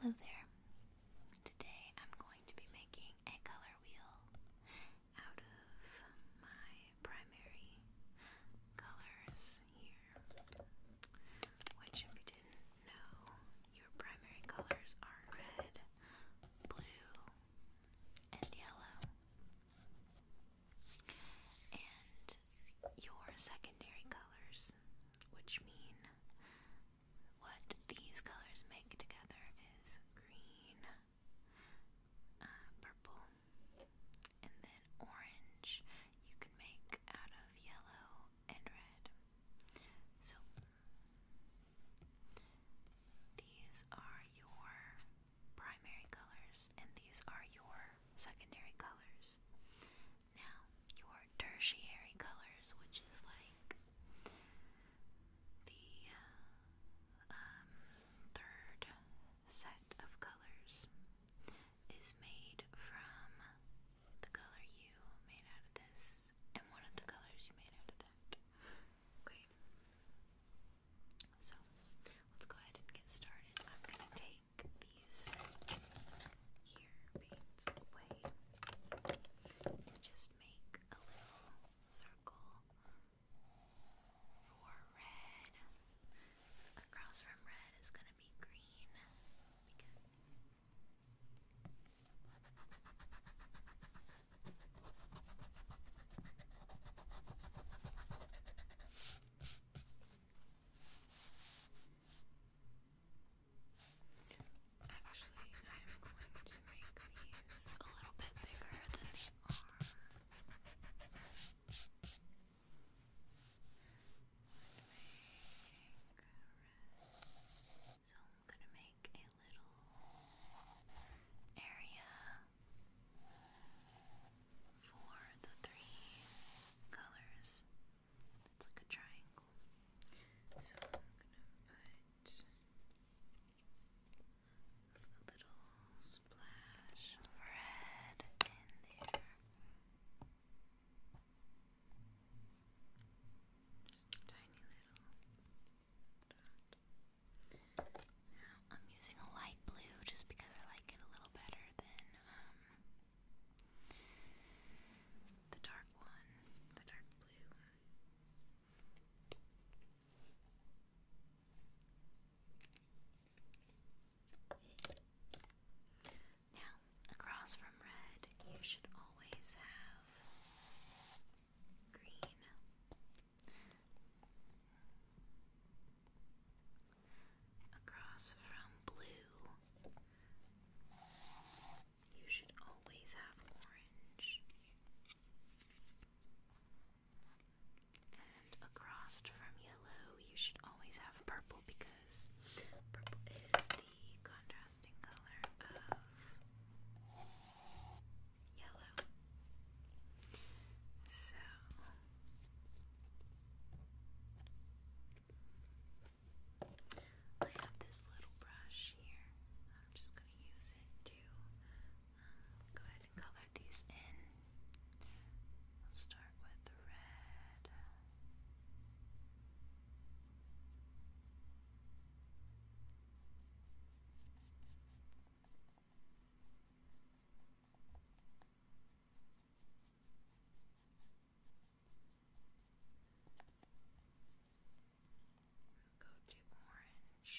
Hello there. Today I'm going to be making a color wheel out of my primary colors here. Which, if you didn't know, your primary colors are red, blue, and yellow. And your secondary colors, which mean what these colors make together is green, uh, purple, and then orange you can make out of yellow and red. So these are your primary colors, and these are your secondary colors. Now, your tertiary colors, which is like the uh, um, third set of colors, is made from the color you made out of this and one of the colors you made out of that. Okay. So, let's go ahead and get started. I'm going to take these here beads away just make a little circle for red. Across from red is going to be green. Actually, I am going to make these a little bit bigger than they are. so I'm gonna make a little area for the three colors. It's like a triangle. So I'm gonna put a little splash of red in there. tiny little dot. I'm using a light blue just because I like it a little better than um the dark one, the dark blue. Now, across from red, you should always have green across from blue. You should always have orange. And across from yellow, you should always have purple because purple is the contrasting color of yellow. So I have this little brush here. I'm just going to use it to um, go ahead and color these in. start with the red. We'll go to orange.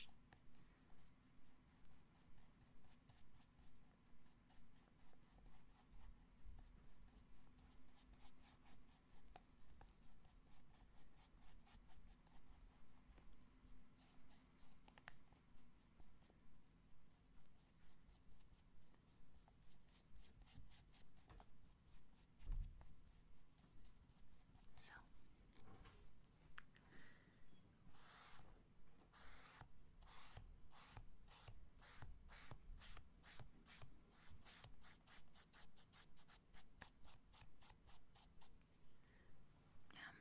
So now I'm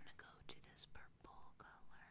going to go to this purple color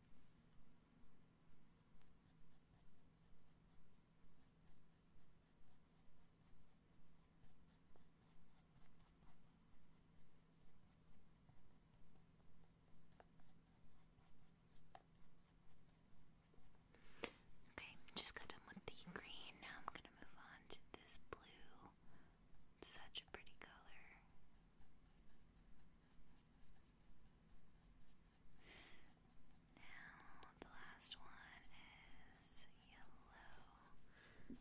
Okay, just got done with the green. Now I'm going to move on to this blue. Such a pretty color. Now, the last one is yellow.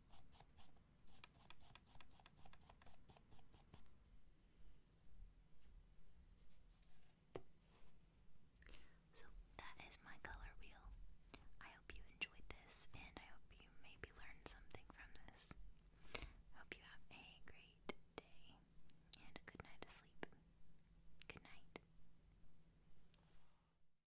So that is my color wheel. I hope you enjoyed this and I hope you maybe learned something from this. hope you have a great day and a good night to sleep. Good night.